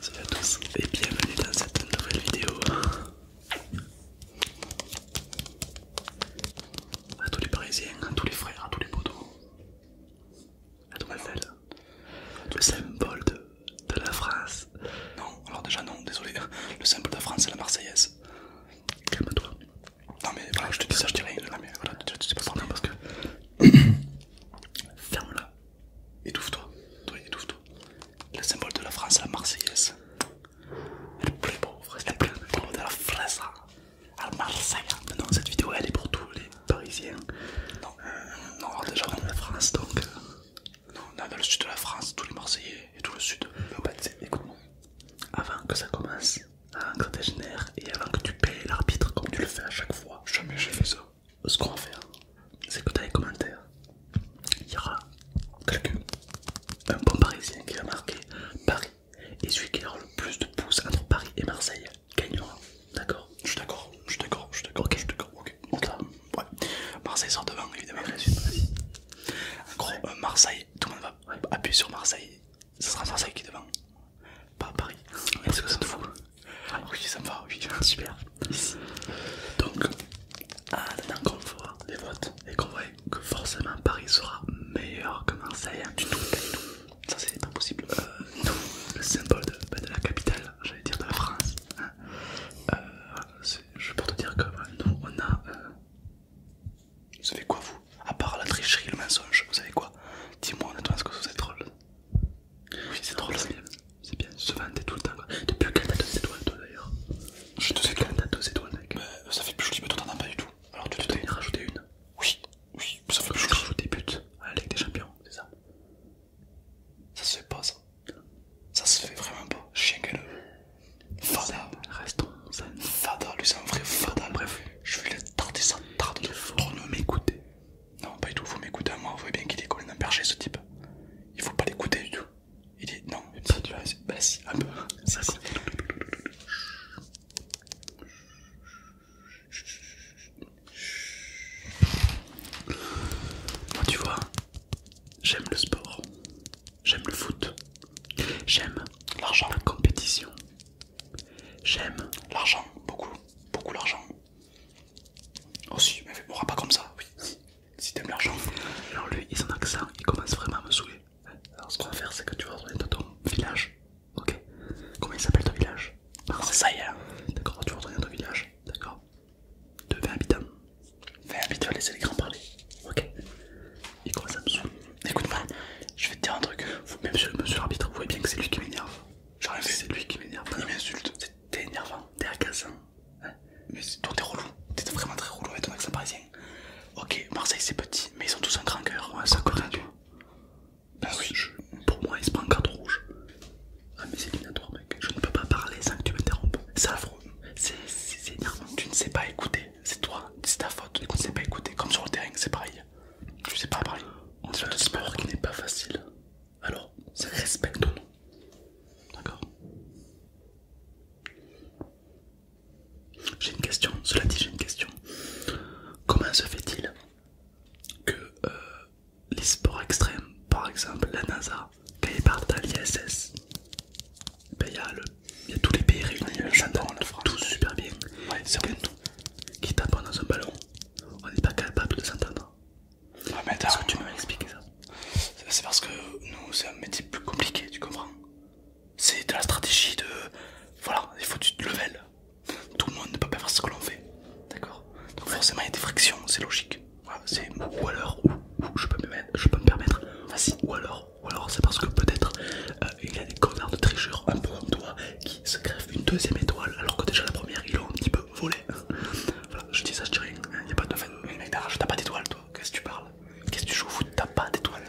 Salut à tous et bienvenue dans cette nouvelle vidéo. A tous les parisiens, à tous les frères, à tous les potos, à tous Marcel, le symbole de, la France. Non, alors déjà non, désolé, le symbole de la France c'est la Marseillaise. Calme-toi. Non mais voilà, je te dis ça, je dis rien. Non mais voilà, tu sais pas Non parce que. Ferme-la. Étouffe-toi, toi, étouffe-toi. Le symbole de la France, la Marseillaise. Elle Le plus est le plus beau de la France, à hein. Marseille. Non, cette vidéo elle est pour tous les Parisiens. Non, euh, non, ah, déjà dans la France donc. Euh, non, non, non, dans le sud de la France, tous les Marseillais et tout le sud. Bah, écoute avant que ça commence, avant que ça dégénère et avant que tu payes l'arbitre comme tu le fais à chaque fois. Jamais j'ai fait ça ce qu'on va faire, c'est que dans les commentaires, il y aura quelqu'un, un bon parisien qui va marquer Paris. Et celui qui aura le plus de pouces entre Paris et Marseille gagnera. D'accord Je suis d'accord, je suis d'accord, je suis d'accord, ok, je suis d'accord, ok. okay. Ouais. Marseille sort devant évidemment. En gros, euh, Marseille, tout le monde va appuyer sur Marseille. ça sera Marseille qui est devant pas Paris. Est-ce que ça te fout ah Oui, ça me va, oui. Super. Donc, ah, qu'on voit les votes et qu'on voit que forcément Paris sera meilleur que Marseille, hein, Ça, c'est pas possible. Euh, le symbole bah, de, la capitale, j'allais dire de la France. Hein. Euh, je peux te dire que bah, nous, on a. Euh, vous savez quoi, vous À part la tricherie, le mensonge, vous savez quoi Dis-moi honnêtement, est-ce que vous êtes drôle oui, c'est drôle, c'est bien. C'est bien, se vanter tout le temps. Quoi. Depuis quand t'as deux étoiles, toi d'ailleurs J'ai deux étoiles. Quand t'as deux étoiles, mec euh, ça fait plus joli, mais toi t'en as pas du tout. Alors tu t'en es rajouter une Oui, oui, ça fait plus joli. Tu buts à la Ligue des Champions, c'est ça Ça se fait pas, ça. Ça se fait vraiment pas. Chien galeux. Fada. Restons zen. Fada, lui c'est un vrai fada. Bref, je vais le tarder, ça tarder. Il faut pour nous m'écouter. Non, pas du tout, faut m'écouter à moi, vous voyez bien qu'il est d'un perché ce type. Il faut pas l'écouter du tout. Il dit non, tu Bah si, un peu. Ça, si. Moi, tu vois, j'aime le sport, j'aime le foot, j'aime l'argent, la compétition, j'aime l'argent, beaucoup, beaucoup l'argent. Oh si, mais mourra pas comme ça, oui. Si, t'aimes l'argent. Alors lui, il en accent, il commence vraiment à me saouler. Alors ce qu'on va faire, c'est que tu vas retourner dans ton village. Ok Comment il s'appelle ton village ça D'accord, tu vas retourner dans ton village. D'accord De 20 habitants. 20 habitants, laissez les grands parler. Ok Il commence à me saouler. Écoute-moi, je vais te dire un truc. Vous, même monsieur, monsieur l'arbitre, vous voyez bien que c'est lui qui m'énerve. J'arrive C'est lui qui m'énerve. Il m'insulte. T'es énervant, t'es agaçant. Hein. mais toi t'es relou. T'es vraiment très relou avec ton accent parisien. Ok, Marseille c'est petit, mais ils ont tous un grand cœur. c'est ça connaît tu vois. Bah oui. Pour moi, ils se prend carton rouge. Ah mais c'est minatoire mec. Je ne peux pas parler sans que tu m'interrompes. C'est affreux. C'est énervant. Tu ne sais pas écouter. C'est toi. C'est ta faute. Tu ne sais pas écouter. Comme sur le terrain, c'est pareil. Tu sais pas parler. On dirait un sport qui n'est pas facile. Alors, c'est respecte nous D'accord J'ai une question, cela dit, j'ai une question. Comment se fait-il que euh, les sports extrêmes, par exemple la NASA, quand ils partent à l'ISS, ben, il y, a tous les pays réunis, ils s'entendent tous tout super bien. Ouais, c'est tout Qui dans un ballon, on n'est pas capable de s'entendre. Ah, Est-ce que tu ça C'est parce que nous, c'est un métier plus compliqué, tu comprends C'est de la stratégie de. Voilà, il faut du level. Tout le monde ne peut pas faire ce que l'on fait. D'accord Donc, forcément, il y a des frictions, c'est logique. c'est ou alors, ou, je, peux me me permettre. ou alors, ou alors, c'est parce que peut-être euh, il y a des connards de tricheurs un peu en toi qui se grèvent une deuxième étoile alors que déjà la première, ils est un petit peu voilà, je dis ça, je dis rien, il a pas de fan, Mais mec, t'as pas d'étoile, toi, qu'est-ce que tu parles Qu'est-ce que tu joues au T'as pas d'étoile.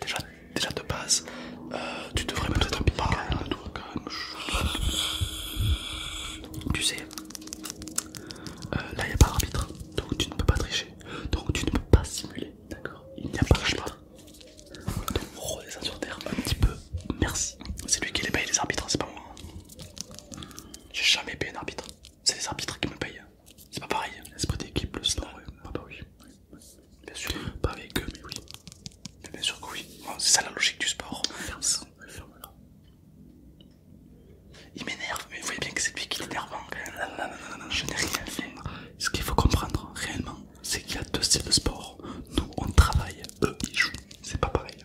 Déjà, déjà de base, euh, tu devrais peut-être pas. Calme, toi, Tu sais, euh, là il a pas d'arbitre, donc tu ne peux pas tricher, donc tu ne peux pas simuler, d'accord Il n'y a pas d'arbitre. Donc, on redescend sur terre un petit peu merci. C'est lui qui les paye les arbitres, c'est pas moi. J'ai jamais payé un arbitre. C'est les arbitres qui me payent. C'est pas pareil. L'esprit d'équipe, le star. Ah bah oui. Bien sûr. Pas avec eux, mais oui. Mais bien sûr que oui. C'est ça la logique du sport. Il m'énerve, mais vous voyez bien que c'est lui qui l'énerve. Hein, Je n'ai rien fait. Ce qu'il faut comprendre réellement, c'est qu'il y a deux styles de sport. Nous, on travaille, eux, ils jouent. C'est pas pareil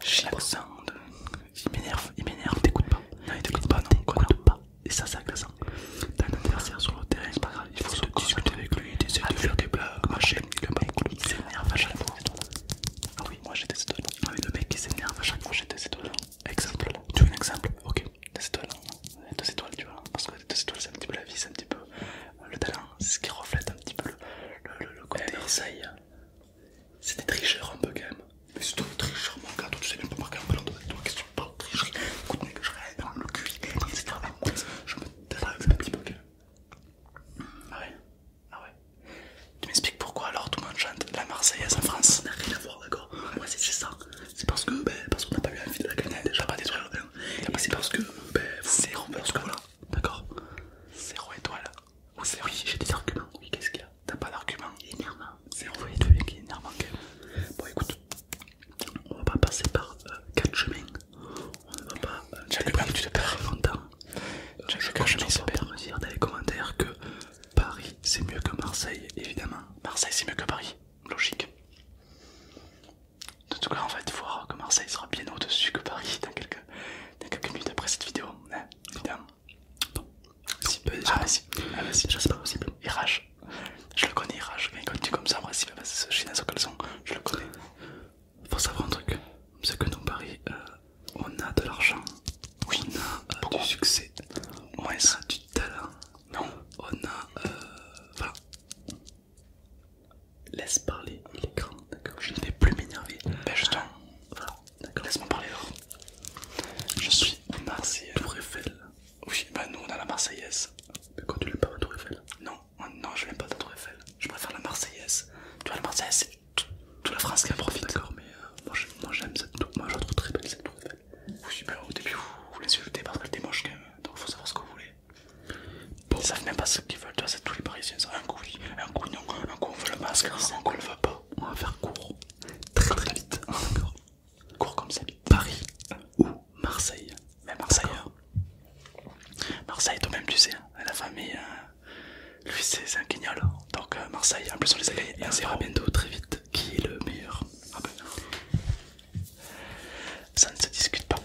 Chibre Sound. Il m'énerve, il m'énerve, t'écoute pas. Non, il t'écoute pas, non, t'écoute pas. Et ça, c'est agressant, hein. T'as un adversaire sur le terrain, c'est pas grave. Il faut se discuter avec lui, t'essaies de faire des blagues, machin. Le mec, il s'énerve à chaque fois. Ah oui, moi j'ai des étoiles. Ah, mais le mec, il s'énerve à chaque fois, j'ai des étoiles. Exemple, tu veux un exemple Ok, des étoiles. Deux étoiles, tu vois. Parce que deux étoiles, c'est un petit peu la vie, c'est un petit peu le talent, c'est ce qui reflète un petit peu le, côté. Marseille, eh, c'est des tricheurs un peu quand même. Mais c'est toi tricheurs mon gars, toi tu sais même pas marquer un ballon de toi, qu'est-ce que tu parles de tricherie Écoute, que je rêve dans le cul, etc. Je me tais un petit peu Ah ouais Ah ouais Tu m'expliques pourquoi alors tout le monde chante la Marseillaise en France Ça n'a rien à voir, d'accord Moi c'est ça. C'est parce que, ben, parce qu'on n'a pas eu envie de la gagner, déjà pas détruire le vin. Et c'est parce que, ben, c'est parce que voilà, D'accord. Zéro étoile. Ah, oui, j'ai des arguments. Oui, qu'est-ce qu'il y a T'as pas d'arguments Il énervant. C'est envoyé de mec, énervant quand Bon, écoute, on va pas passer par 4 euh, chemins. On ne va pas. Euh, Chaque tu te perds longtemps. Euh, Chaque je vais te me dire dans les commentaires que Paris c'est mieux que Marseille, évidemment. Marseille c'est mieux que Paris, logique. En tout cas, on va voir que Marseille sera bien au-dessus que Paris dans quelques, minutes après cette vidéo, hein, évidemment. Bon, si, bah, ah, bah, si. c'est pas possible. Il je le connais, il comme il continue comme ça, moi, si, va passer ce chien à son caleçon, je le connais. Faut savoir un truc, c'est que nous, Paris, euh, on a de l'argent, oui. on a euh, du succès, on a du talent, non. on a. Euh, voilà. Laisse parler l'écran, d'accord Je ne vais plus m'énerver. Ben justement, ah, voilà, Laisse-moi parler alors. Je suis Marseillais. Tour Eiffel. Oui, bah ben nous on a la Marseillaise. Mais quand tu l'aimes pas la Tour Eiffel Non, oh, non, je n'aime pas la Tour Eiffel. Je préfère la Marseillaise. Tu vois, la Marseillaise, c'est toute la France qui en profite. D'accord, mais euh, moi j'aime cette tour. Moi je trouve très belle cette Tour Eiffel. Oui, ben au début vous, l'insultez parce qu'elle était moche quand même. Donc faut savoir ce que vous voulez. Ils savent même pas ce qu'ils veulent, tu vois c'est tous les parisiens. Ça. Un coup oui, un coup non, un coup on veut le masque, un coup on le veut pas. On va faire court, très très vite. encore. Ah, court comme ça, Paris ou Marseille. Mais Marseille, hein. Marseille, toi-même, tu sais, hein. la famille, euh, lui, c'est un guignol. Donc, euh, Marseille, en plus, on les a gagnés. Et on bientôt très vite qui est le meilleur. Ah ben. Ça ne se discute pas.